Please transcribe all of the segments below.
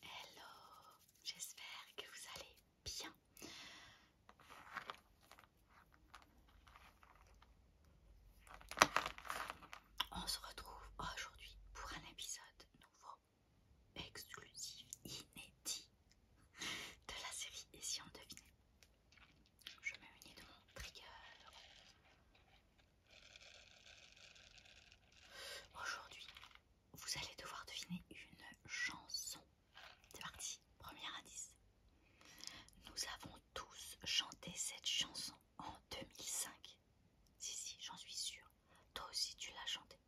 Hello, j'espère que vous allez bien. On se retrouve aujourd'hui pour un épisode nouveau exclusif, inédit de la série Et si on Je me munis de mon trigger. Aujourd'hui, vous allez devoir deviner une chanson. C'est parti, premier indice. Nous avons tous chanté cette chanson en 2005. Si, si, j'en suis sûre. Toi aussi, tu l'as chanté.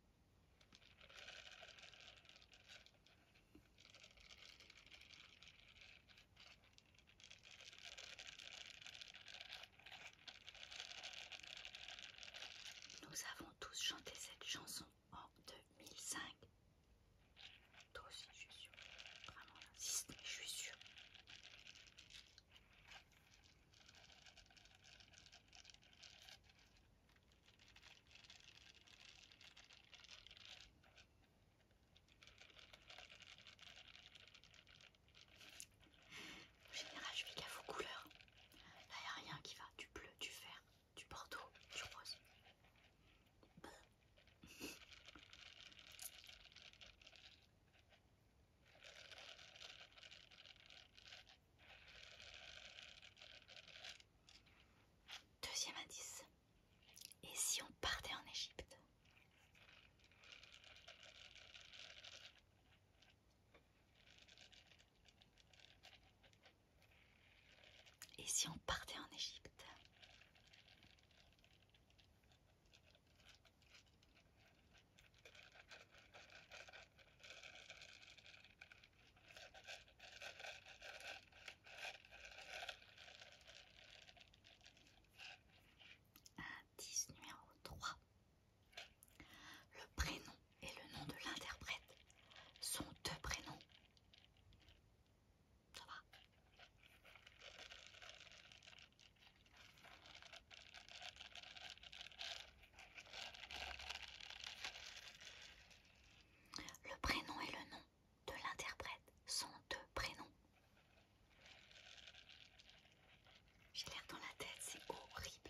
Nous avons tous chanté cette chanson en 2005. Toi aussi, je suis sûre. Vraiment, là. Si ce n'est, je suis sûre. Généralement, général, je suis gaffe aux couleurs. Là, il n'y a rien qui va. Du bleu, du vert, du bordeaux, du rose. Deuxième indice. Et si on partait en Égypte Et si on partait en Égypte 10 numéro 3. Le prénom et le nom de l'interprète sont deux prénoms. Le prénom et le nom de l'interprète sont deux prénoms. J'ai l'air dans la tête, c'est horrible.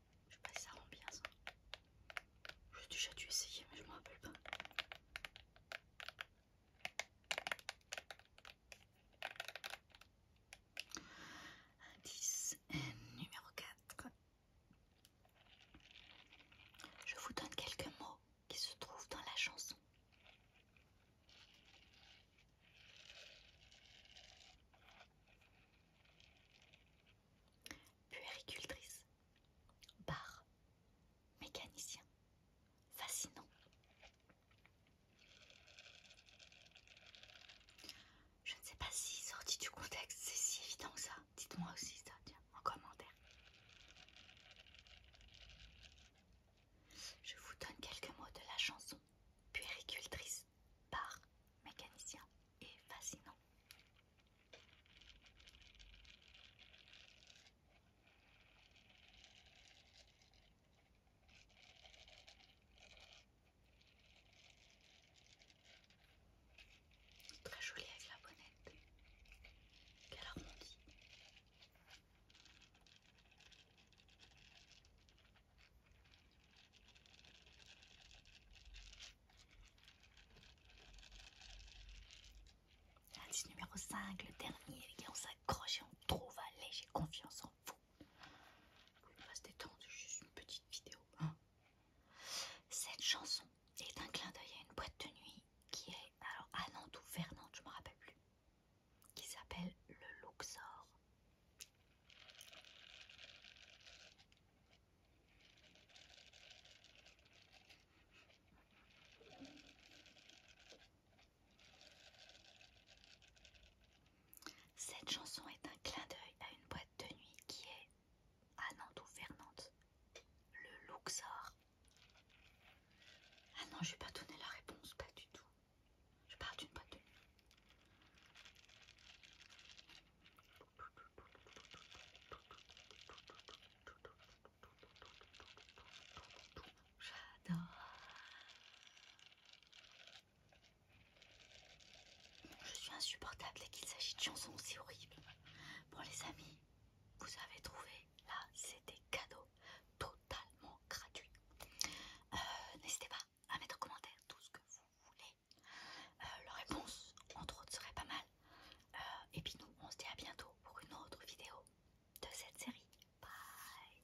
Je sais pas si ça rend bien ça. J'ai déjà dû essayer, mais je me rappelle pas. Indice numéro 4. Je vous donne quelques mots qui se trouvent dans la chanson puéricultrice, bar, mécanicien, fascinant. Je ne sais pas si sorti du contexte, c'est si évident que ça. Dites-moi aussi ça, en commentaire. Je vous donne quelques mots de la chanson puéricultrice par mécanicien et fascinant. Très joli avec la bonnette. Quelle harmonie. Indice numéro 5, le dernier, et on s'accroche et on trouve. Allez, j'ai confiance en vous. Vous pouvez pas se détendre, c'est juste une petite vidéo. Hein Cette chanson est un clin d'œil à une boîte de nuit qui est alors à Nantes ou Fernand, je me rappelle plus qui s'appelle le Luxor. Cette chanson est un clin d'œil à une boîte de nuit qui est, à Nantes ou Fernande, le Luxor. Ah non, je vais pas donner la réponse, pas du tout. Je parle d'une boîte J'adore. Je suis insupportable et qu'il s'agit de chansons aussi horribles. Pour les amis, vous avez trouvé là c'est des cadeaux totalement gratuits euh, n'hésitez pas à mettre en commentaire tout ce que vous voulez leur réponse entre autres serait pas mal euh, et puis nous on se dit à bientôt pour une autre vidéo de cette série bye